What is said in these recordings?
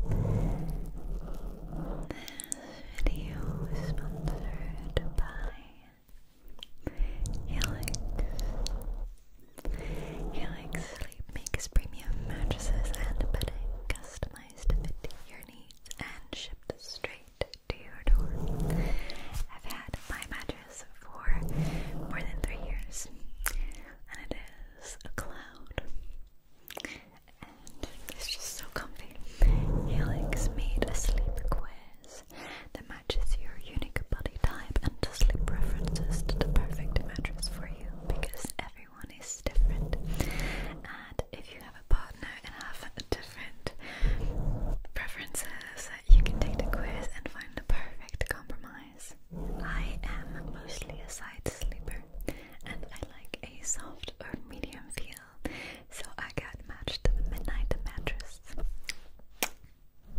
This video is sponsored by Helix. Helix Sleep makes premium mattresses and bedding customized to fit your needs and shipped straight to your door. I've had my mattress for more than three years, and it is a cloud and it's just so comfy. Helix made a sleep quiz that matches your unique body type and sleep preferences to the perfect mattress for you because everyone is different. And if you have a partner and have different preferences, you can take the quiz and find the perfect compromise. I am mostly a side sleeper and I like a soft or medium feel, so I got matched midnight mattress.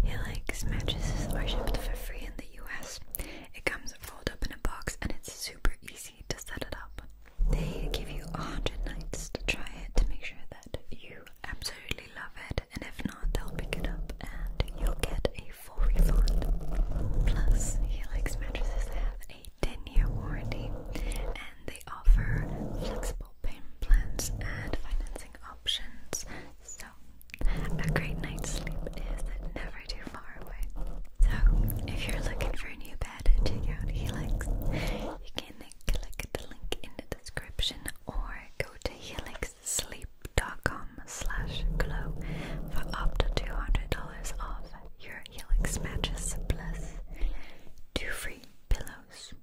He mattresses are shipped for free in the US. It comes rolled up in a box and it's super easy to set it up. They give you a hundred nights to try it to make sure that you absolutely love it, and if not, they'll pick it up and you'll get a full refund. Plus, Helix mattresses have a 10-year warranty and they offer flexible payment plans and financing options. So a great night's sleep is never too far away. So if you're looking for a new bed, check out Helix. You can click the link in the description or go to helixsleep.com slash glow for up to $200 off your Clear Helix Mattress Plus. Two free pillows.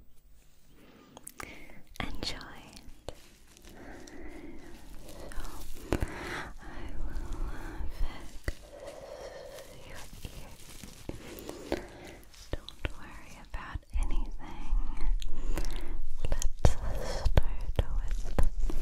Enjoy it. So, I will fix your ears. Don't worry about anything. Let's start with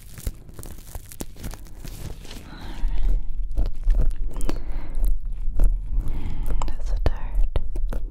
Just start. Okay.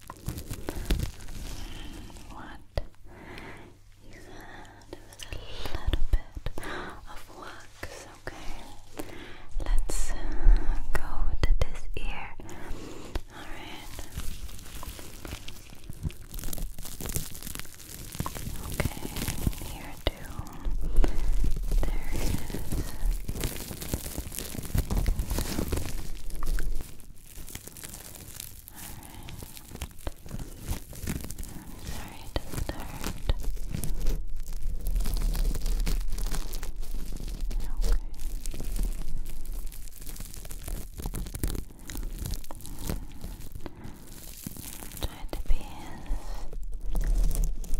what you was a little bit of wax, okay? Let's uh, go to this ear. Alright. Okay, here too. There it is i sorry to Okay. Try to be as delicate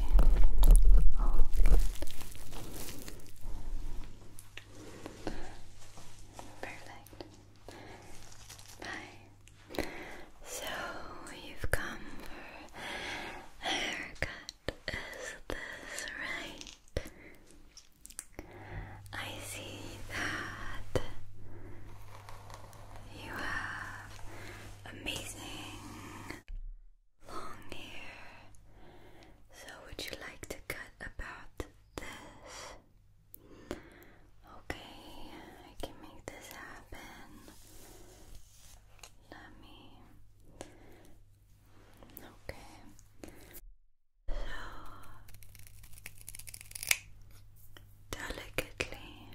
Okay. All Bye. So you've come for a haircut, is this right? I see that you have amazing long hair. So, would you like to cut about this? Okay, I can make this happen. Let me. Okay. So delicately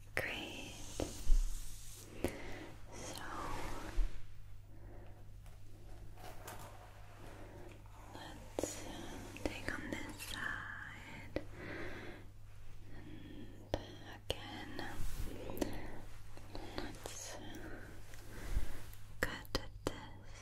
Great. So let's uh, take on this side and again. Let's uh, cut this.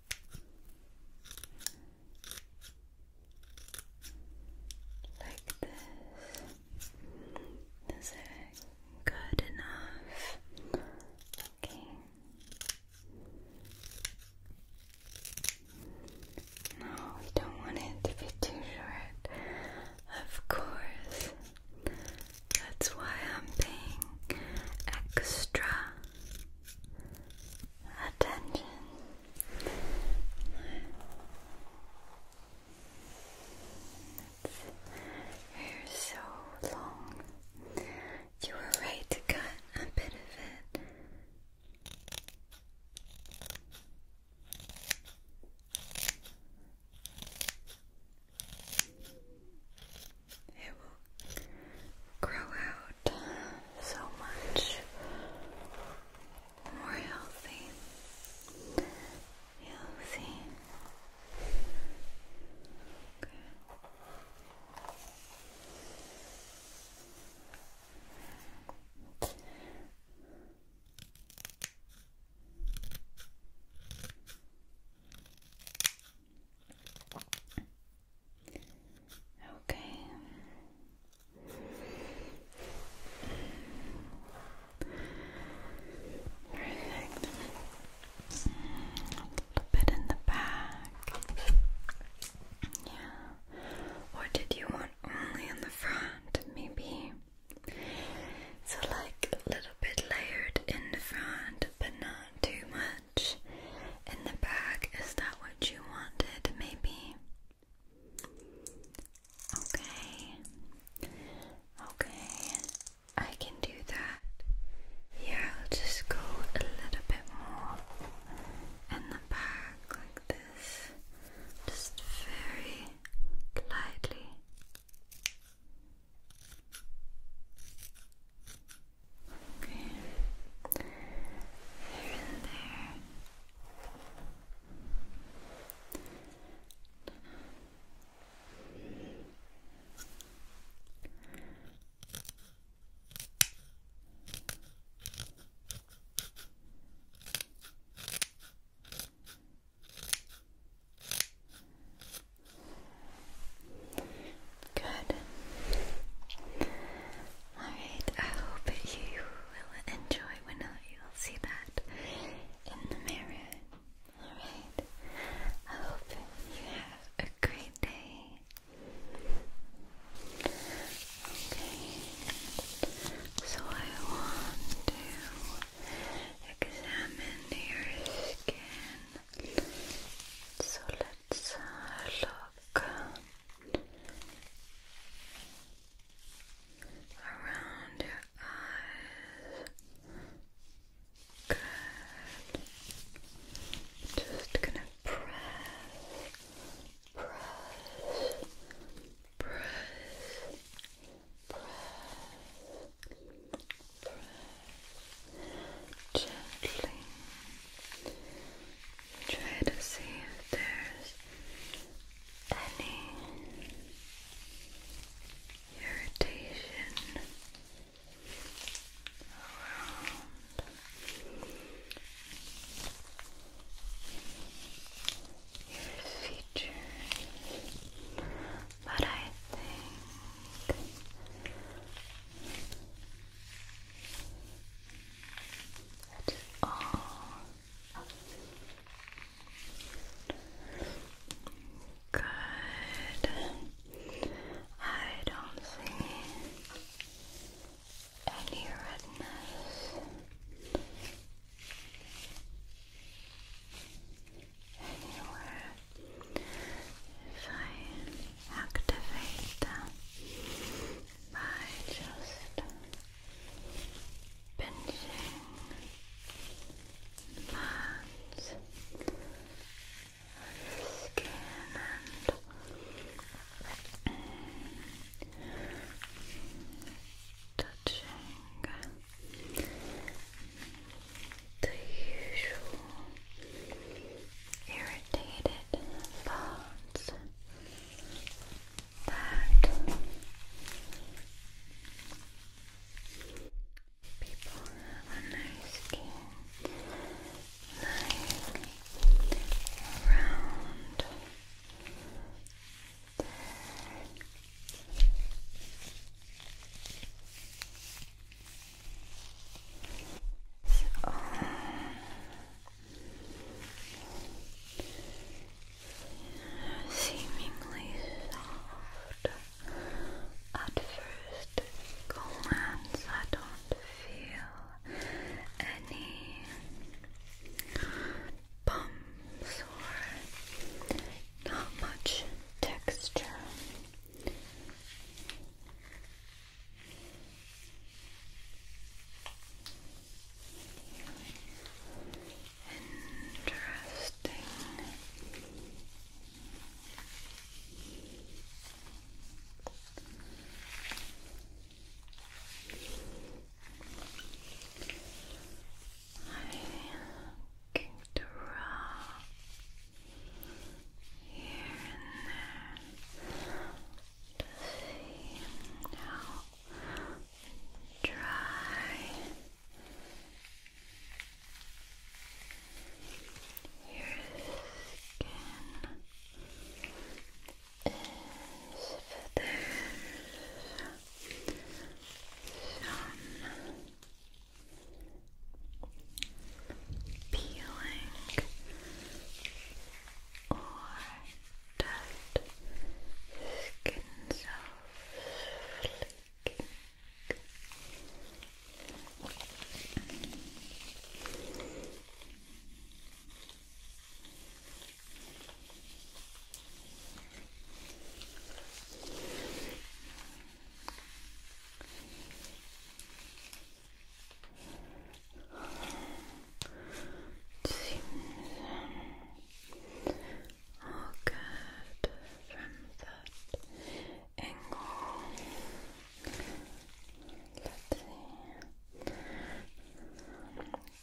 Like this. Is it good enough? Okay. No, we don't want it to be too short. Of course. That's why I'm paying extra attention. hair so long. You were right to cut a bit of it it will grow out so much more healthy. Healthy. Okay. Okay. A little bit in the back. Yeah. Or did you want only in the front? Maybe. So like a little bit layered in the front, but not too much in the bag. Is that what you wanted? Maybe. Okay. Okay. I can do that. Yeah, I'll just go a little bit more in the back like this. Just very lightly. Okay. Here and there. Good. Alright, I hope you will enjoy when you see that in the mirror. Alright, I hope you have a great day. Okay, so I want to examine your skin. So let let's look around your eyes. Good. Just gonna press, press, press, press, gently. Try to see if there's any irritation around your features, but I think at all. Good. I don't see any redness. Anywhere. If I activate the by just pinching parts skin and touching the usual irritated bones that people have on their skin like around their it's all seemingly soft. At first glance, I don't feel any bumps or not much texture. Interesting. I kicked around here and there see how dry your skin is there's some peeling or tight skin soft flicking. Seems all good from that angle. Let's see.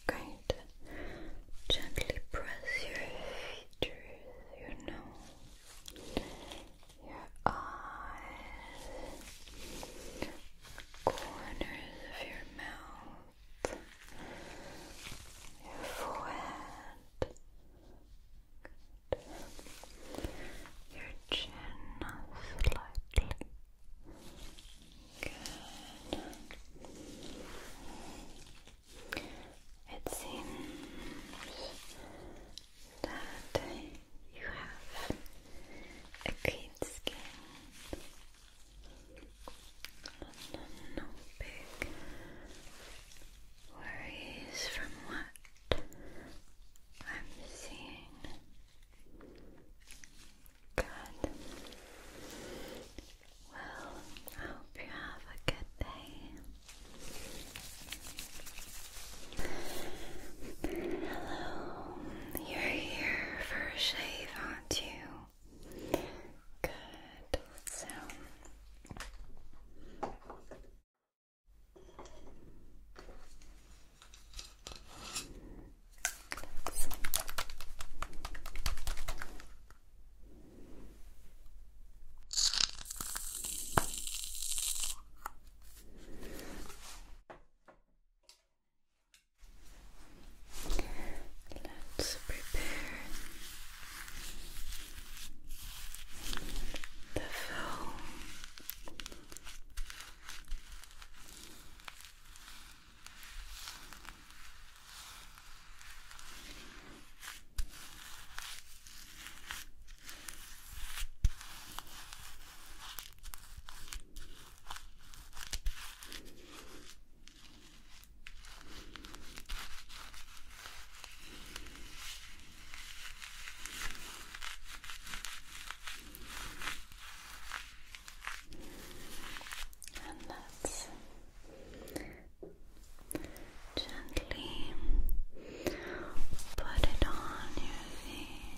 Great. Gently press your features, your nose, your eyes corners of your mouth, your forehead, your chin slightly. It seems that you have a clean skin no, no worries from what I'm seeing good well, I hope you have a good day hello you're here for a shave, aren't you? Good. So. Let's prepare the foam. And let's gently put it on your face.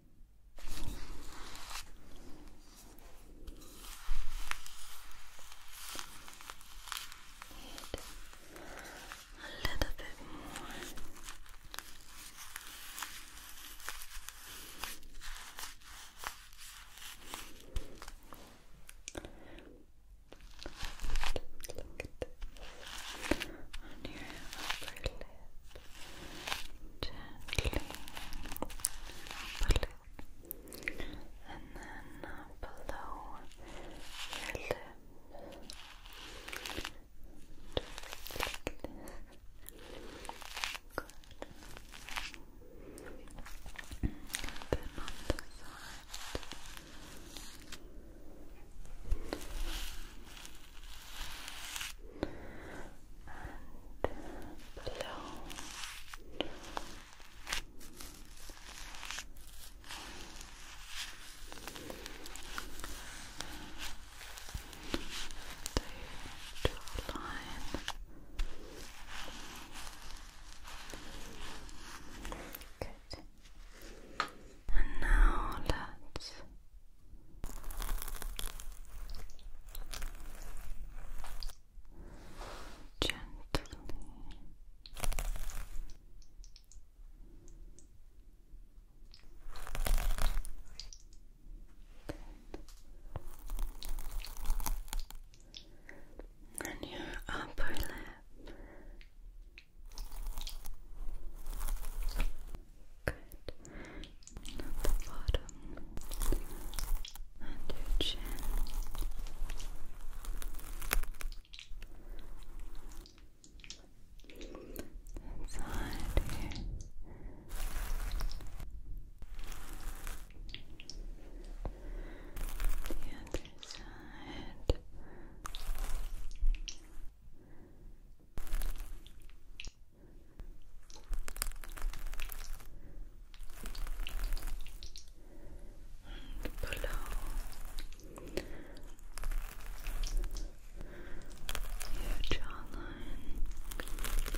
a little bit more. on your upper lip gently blue. and then uh, below your lips and then on the side and below. The top line. Good. And now let's Gently. And your upper lip. Good. At the bottom and chin. Inside here. The other side and below your jawline. And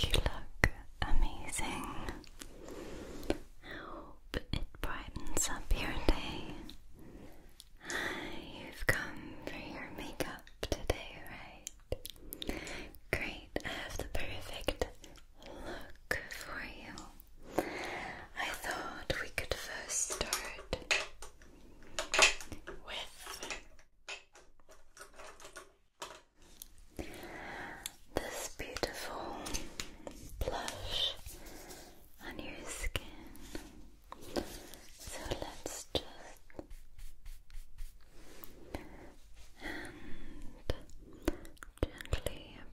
You look amazing. I hope it brightens up your day. You've come for your makeup today, right? Great, I have the perfect look for you. I thought we could first start with this beautiful blush on your skin. So let's just gently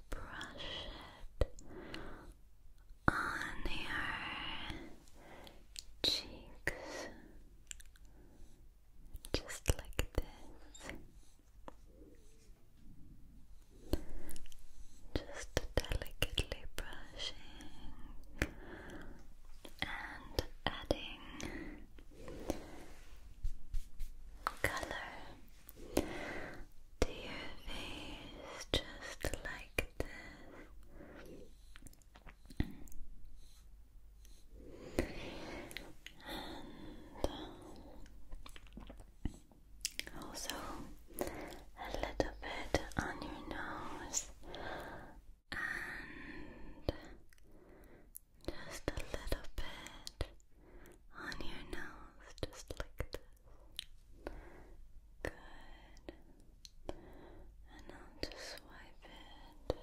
brush it on your cheeks just like this. Just delicately brushing and adding color to your face just like this also a little bit on your nose and just a little bit on your nose, just like this. Good. And I'll just swipe it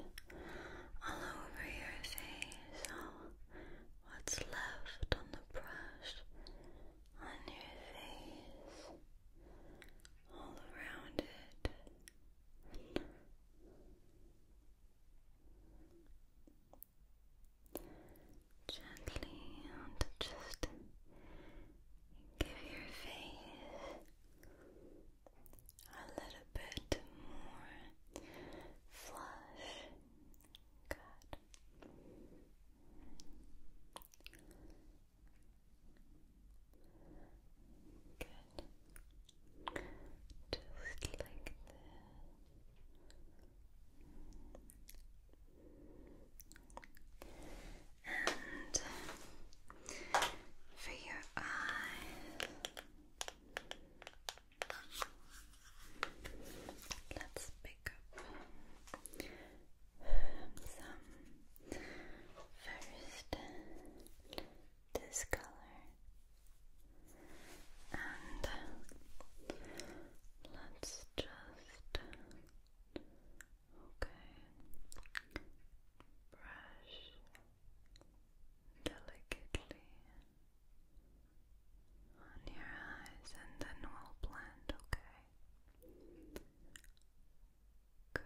all over your face. All what's left on the brush on your face, all around it. Gently and just give your face a little bit more flush. Good. Good. Just like this. And for your eyes, let's pick up some First, this color, and let's just okay brush delicately on your eyes, and then we'll blend. Okay. Good.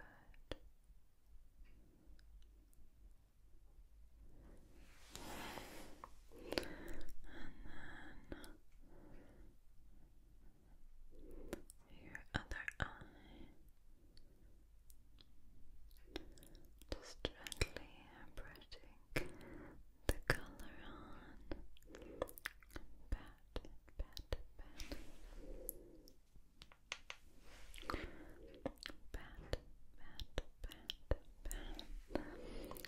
And then your other eye. Just gently brushing the color on. Pat, pat, pat pat, pat, pat, pat, pat, pat, pat, and then just blending,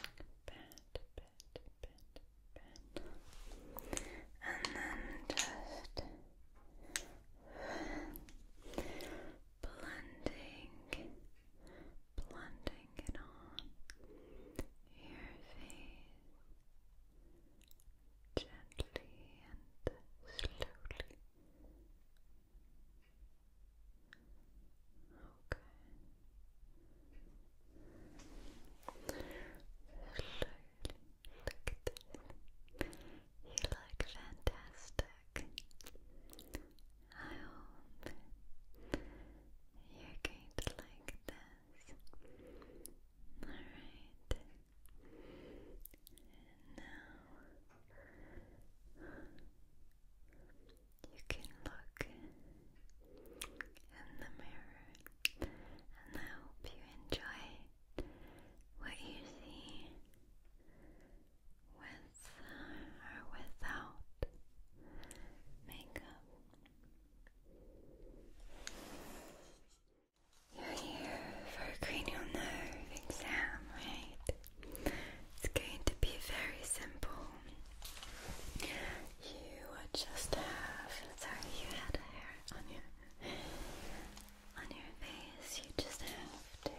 blending it on your face gently and slowly. Okay. Slowly. You look fantastic. I hope you're going to like this. Alright. And now you can look in the mirror, and I hope you enjoy what you see with or without makeup. You're here cranial nerve exam, right? It's going to be very simple. You just have, sorry, you had hair on your, on your face. You just have to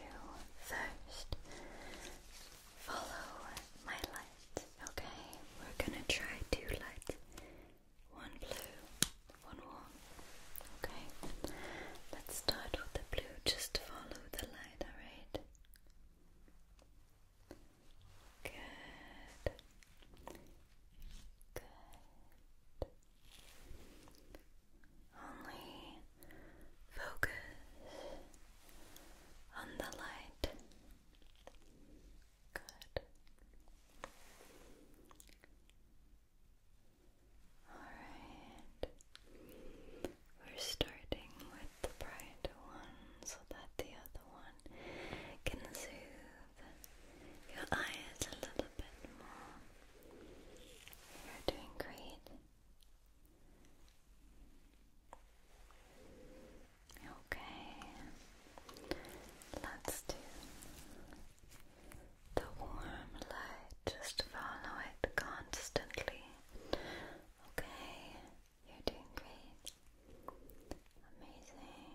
first follow my light, okay? We're gonna try two lights. One blue, one wall. Okay, let's start with the blue. Just follow the light, alright? Good. Good. Only focus on the light. Good. Alright, we're starting with the bright one so that the other one can soothe your eyes a little bit more. You're doing great. Okay, let's do the warm light, just follow it constantly. Okay, you're doing great. Amazing.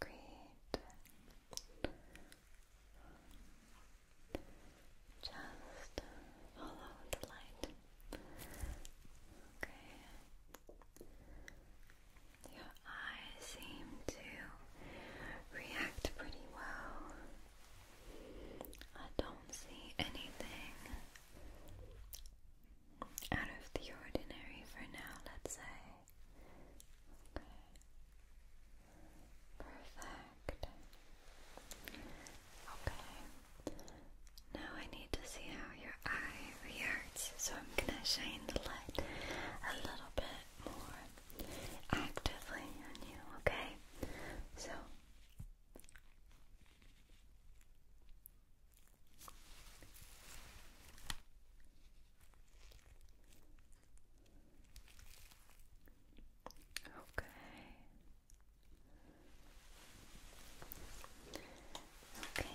Great. Just follow the light. Okay. Your eyes seem to react pretty well. I don't see anything out of the ordinary for now, let's say. Okay. Perfect. Okay. Now I need to see how your eye reacts. So I'm gonna shine the light a little bit more actively on you, okay? So Okay. Okay.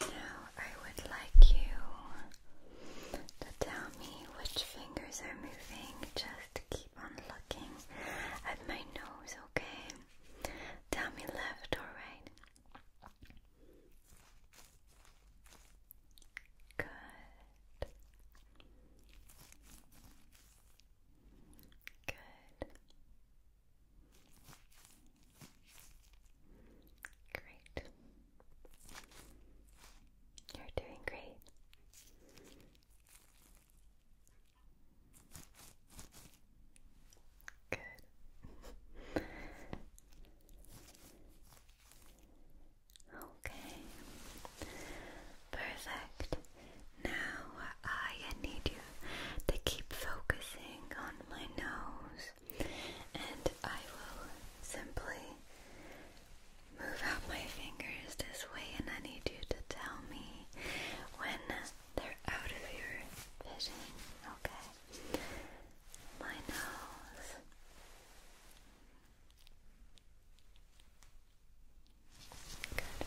Now I would like you to tell me which fingers are moving. Just keep on looking at my nose, okay? Tell me left or right. Good. Good. Great. You're doing great. Good. okay. Perfect. Now uh, I need you to keep focusing on my nose and I will simply move out my fingers this way, and I need you to tell me when they're out of your vision. Okay, my nose. Good.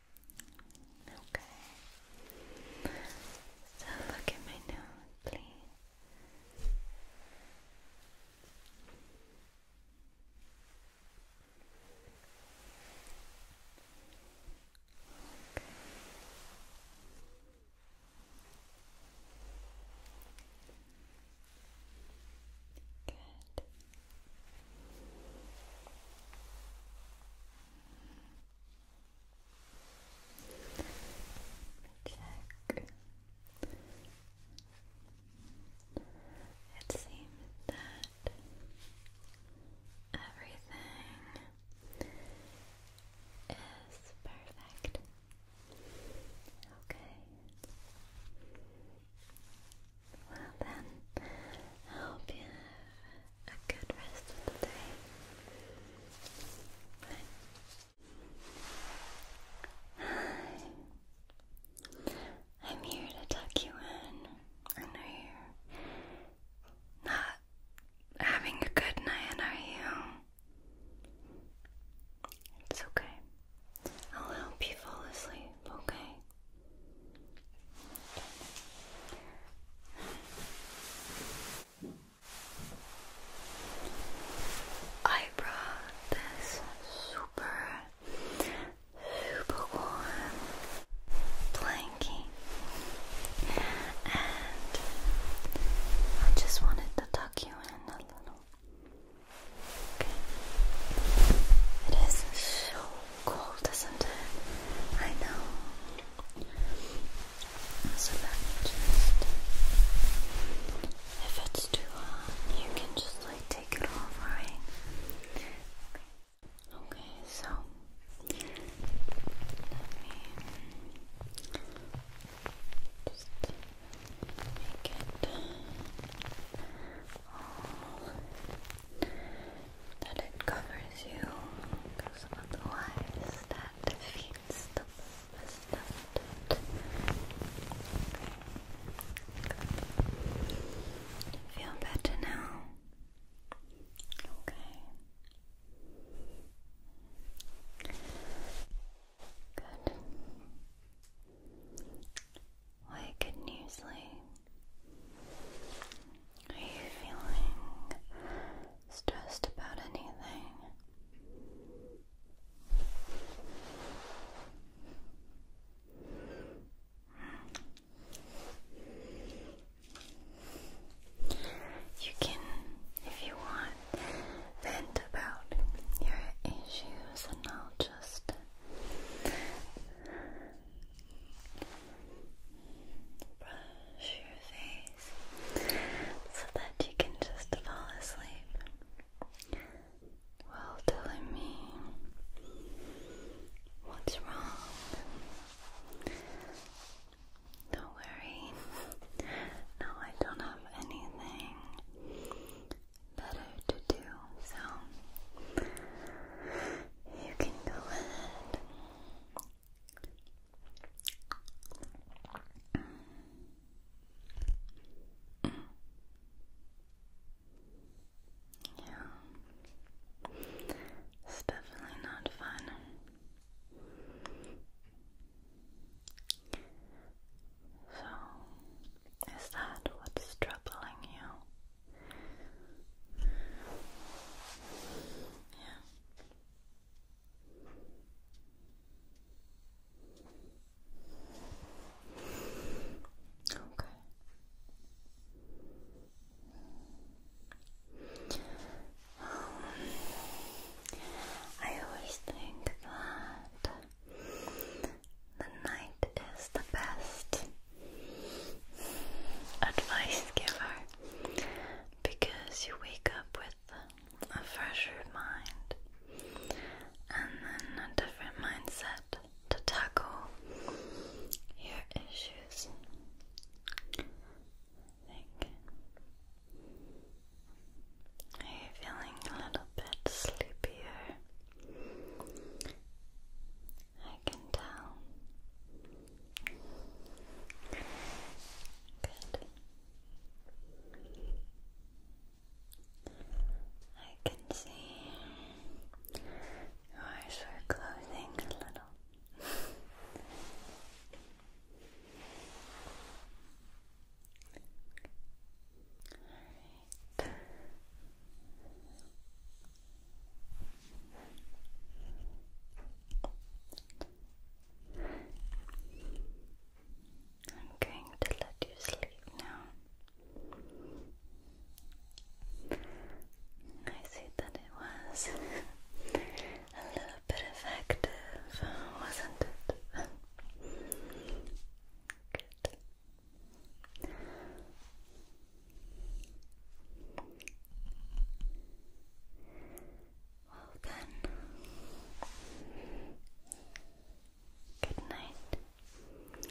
Okay. So look at my nose, please. Good. Check. It seems that everything is perfect. Okay. Well then, I hope you a good rest of the day. Hi. I'm here to tuck you in. I know you're not having a good night, are you? It's okay. I'll help you fall asleep, okay? I brought this super, super warm blankie, and I just wanted to tuck you in a little. It is so cold, isn't it? I know. So let me if it's too hot, you can just like take it off, right? Okay, so let me just make it all that it covers you because otherwise that defeats the purpose, doesn't better now? Okay. Good. Wake and usually are you feeling stressed about anything? You can, if you want, vent about your issues, and I'll just brush your face so that you can just fall asleep while telling me what's wrong. Don't worry. No, I don't have anything better to do, so you can go ahead yeah. It's definitely not fun. So, is that what's troubling you? Yeah. Okay. Um, I always think that the night is the best advice giver because you wake up with a fresher mind and then a different mindset to tackle your issues. Are you feeling a little bit sleepier? I can tell. Good. I can see your eyes closing a little. All right. I'm going to let you sleep now. I see that it was a little bit effective, wasn't it? Good. Hogan. Good night. Good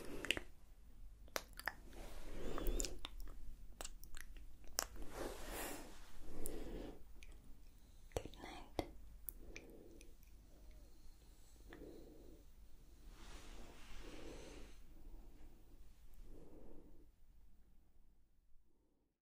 night.